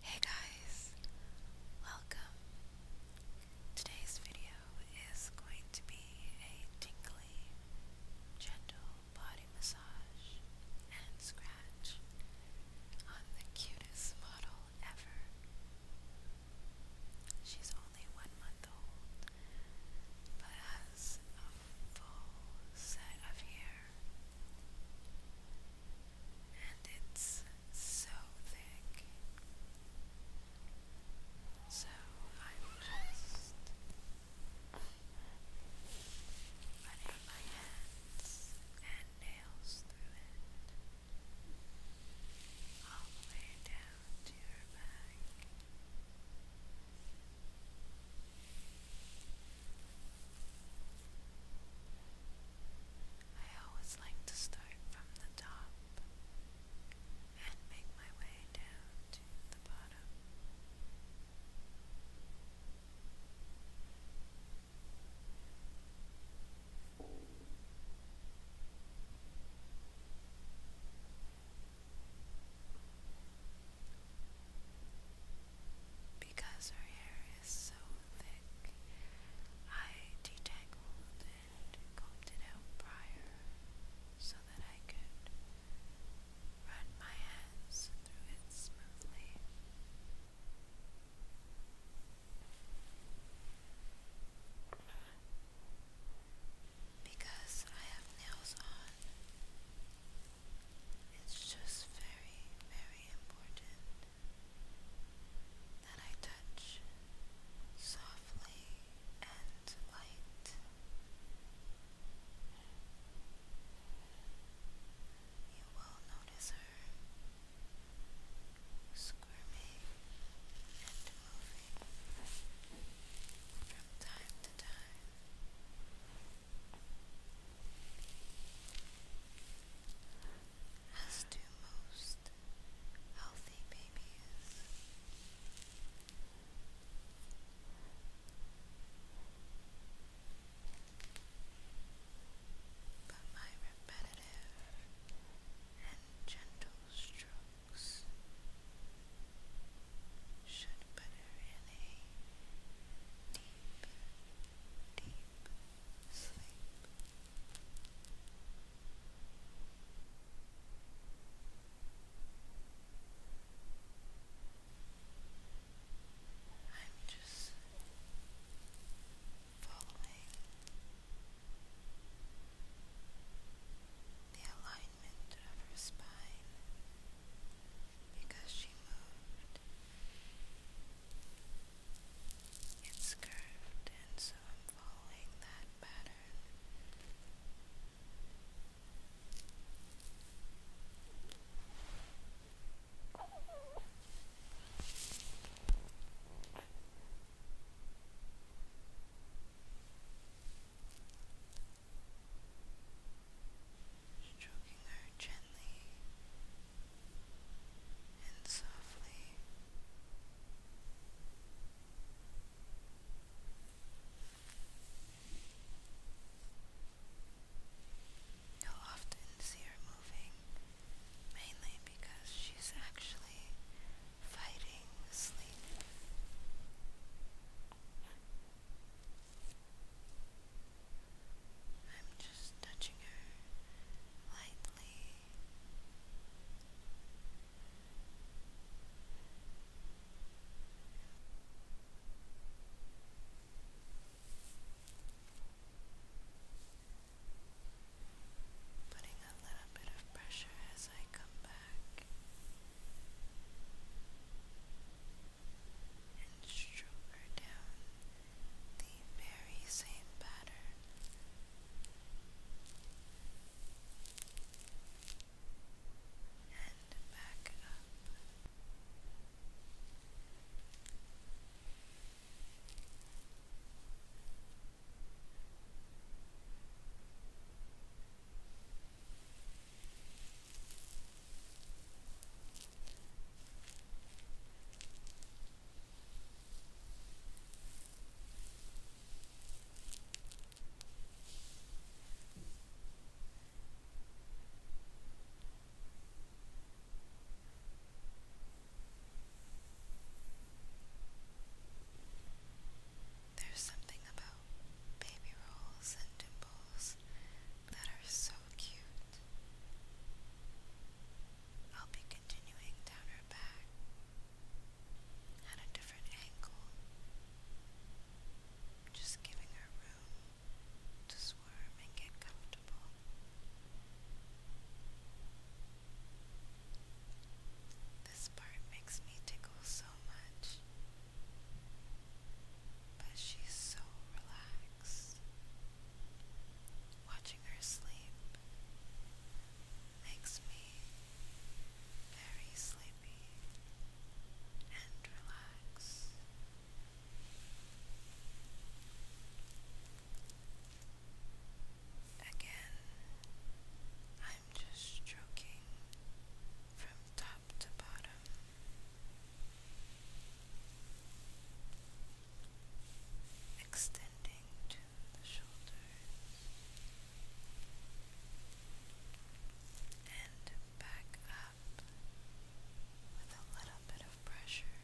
Hey guys, welcome. Today's video is going to be a tingly, gentle body massage and scratch on the cutest model ever. She's only one month old, but has a full set of hair and it's so thick. So I just running my hands and nails through it all the way down to your back. I always like to start from the top and make my way down to the bottom. Because her hair is so thick, I detangled and combed it out prior so that I could run my hands through it smoothly. Because I have nails on, it's just very, very important that I touch softly and light. You will notice her squirming and moving from time to time as do most healthy babies. But my repetitive and gentle strokes should put her deep sleep. I'm just following the alignment of her spine because she moved it's curved, and so I'm following that pattern stroking her gently and softly. You'll often see her moving, mainly because she's actually fighting sleep. I'm just touching her lightly. Putting a little bit of pressure as I come back and stroke down the very same pattern. And back up. There's something about baby rolls and dimples that are so cute. I'll be continuing down her back at a different angle, just giving her room to squirm and get comfortable. This part makes me tickle so much, but she's so relaxed. Watching her sleep makes me very sleepy and relaxed. Again, I'm just stroking from top to bottom extending to the shoulders and back up with a little bit of pressure.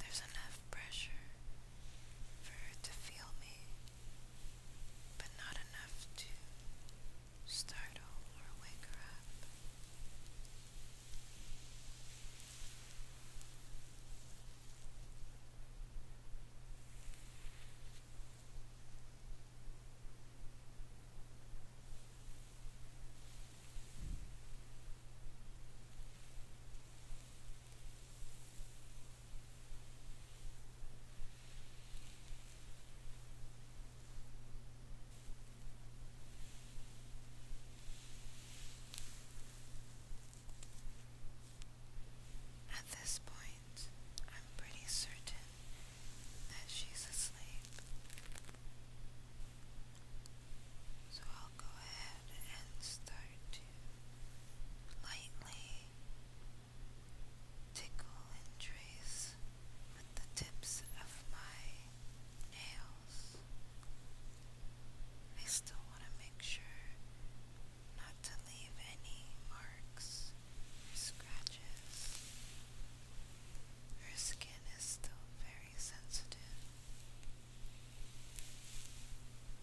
There's enough pressure for her to feel me but not enough to startle or wake her up. At this point, I'm pretty certain that she's asleep. So I'll go ahead and start to lightly tickle and trace with the tips of my nails. I still want to make sure not to leave any marks scratches. Her skin is still very sensitive.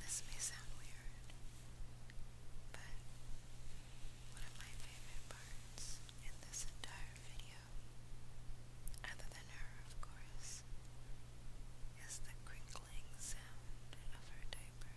This may sound weird, but one of my favorite parts in this entire video other than her, of course, is the crinkling sound of her diaper.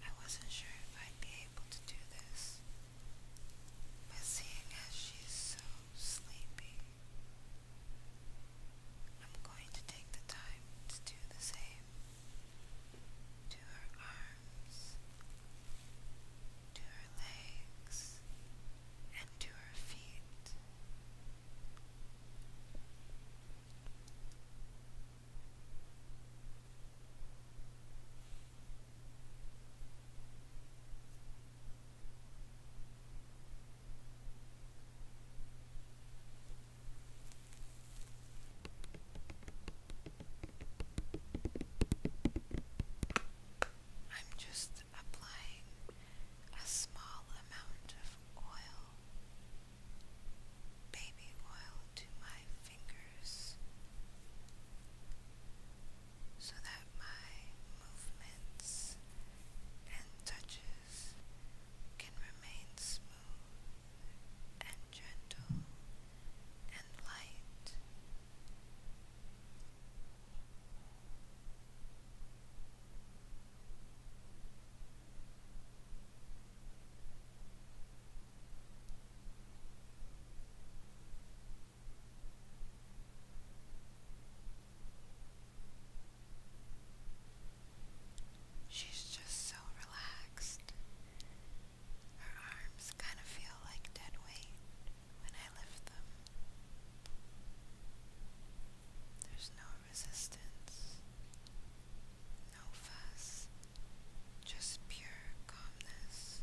I wasn't sure if I'd be able to do this, but seeing as she's so sleepy. I'm going to take the time to do the same to her arms, to her legs, and to her feet. I'm just applying a small amount of oil, baby oil, to my fingers so that my movements and touches can remain smooth and gentle and light. She's just so relaxed. Her arms kind of feel like dead weight when I lift them. There's no resistance, no fuss, just pure calmness.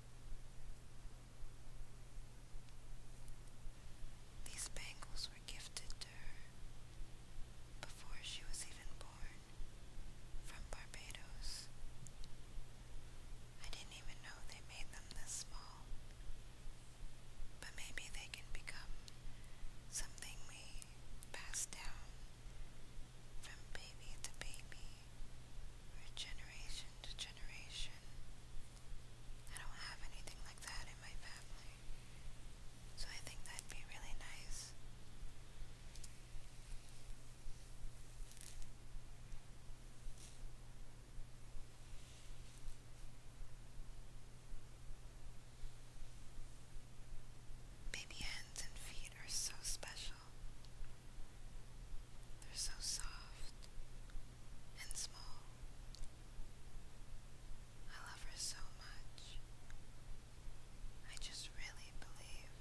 These bangles were gifted to her before she was even born from Barbados. I didn't even know they made them this small, but maybe they can become something we pass down from baby to baby, or generation to generation. I don't have anything like that in my family. So I think that'd be really nice. Baby hands and feet are so special. They're so soft and small. I love her so much. I just really believe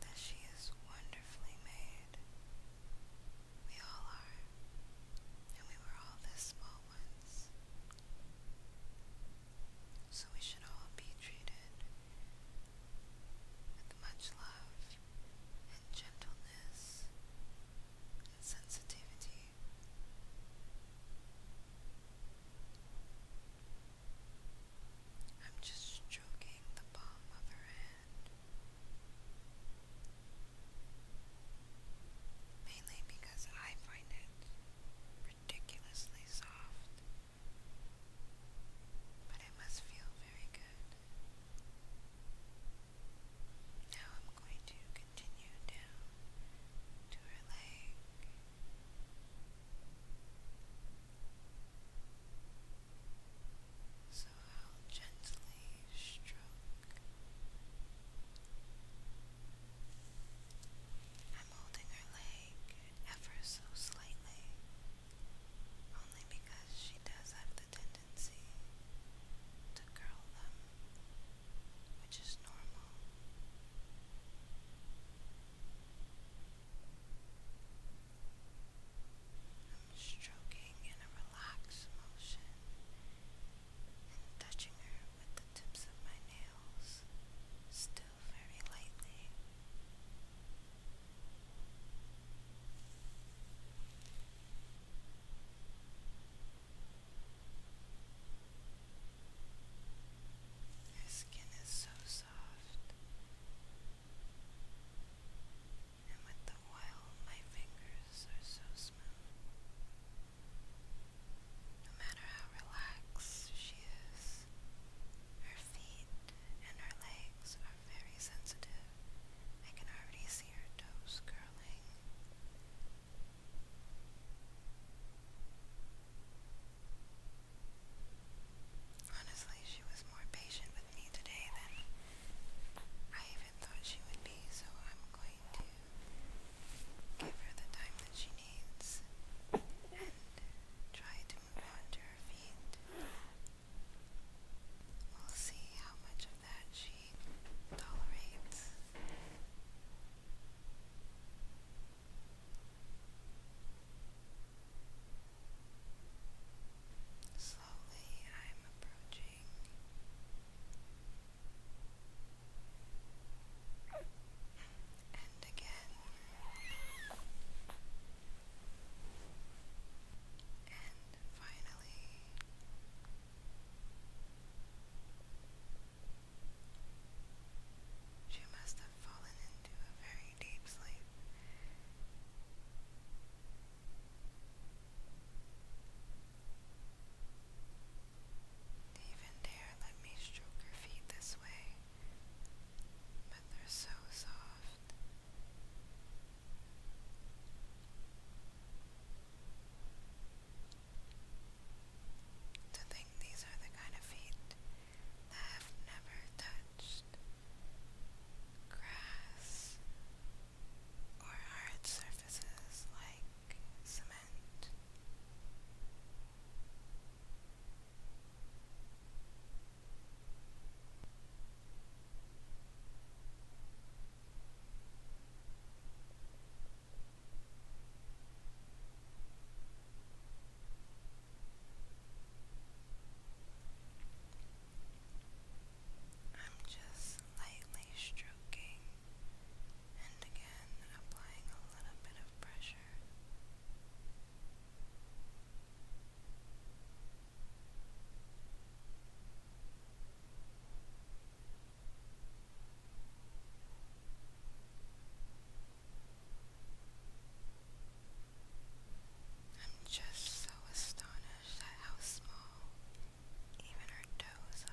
that she is wonderfully made. We all are, and we were all this small once. So we should all be treated with much love and gentleness and sensitivity. I'm just stroking the palm of her hand, mainly because I find it ridiculously soft but it must feel very good. Now I'm going to continue down to her leg. So I'll gently stroke. I'm holding her leg ever so slightly only because she does have the tendency to curl them, which is normal. I'm stroking in a relaxed motion and touching her with the tips of my nails, still her skin is so soft, and with the oil, my fingers are so smooth. No matter how relaxed she is, her feet and her legs are very sensitive. I can already see her toes curling. Honestly, she was more patient with me today than I even thought she would be, so I'm going to give her the time that she needs try to move on her feet. We'll see how much of that she tolerates. Slowly, I'm approaching and again, and finally. She must have fallen into a very deep sleep. even dare let me stroke her feet this way, but they're so soft. To think these are the kind of feet that have never touched grass or hard surfaces like cement. I'm just lightly stroking and again applying a little bit of pressure. I'm just so astonished at how small even her toes are.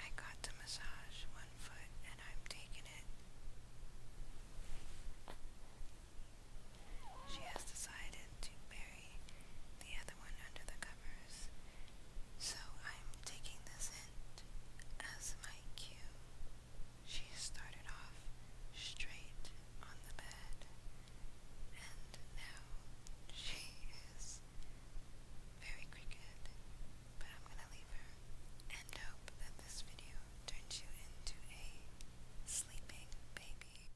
I got the massage one foot and I'm taking it. She has decided to marry the other one under the covers. So I'm taking this hint as my cue. She started off straight on the bed, and now she is very crooked. But I'm gonna leave her and hope that this video turns you into a sleeping baby.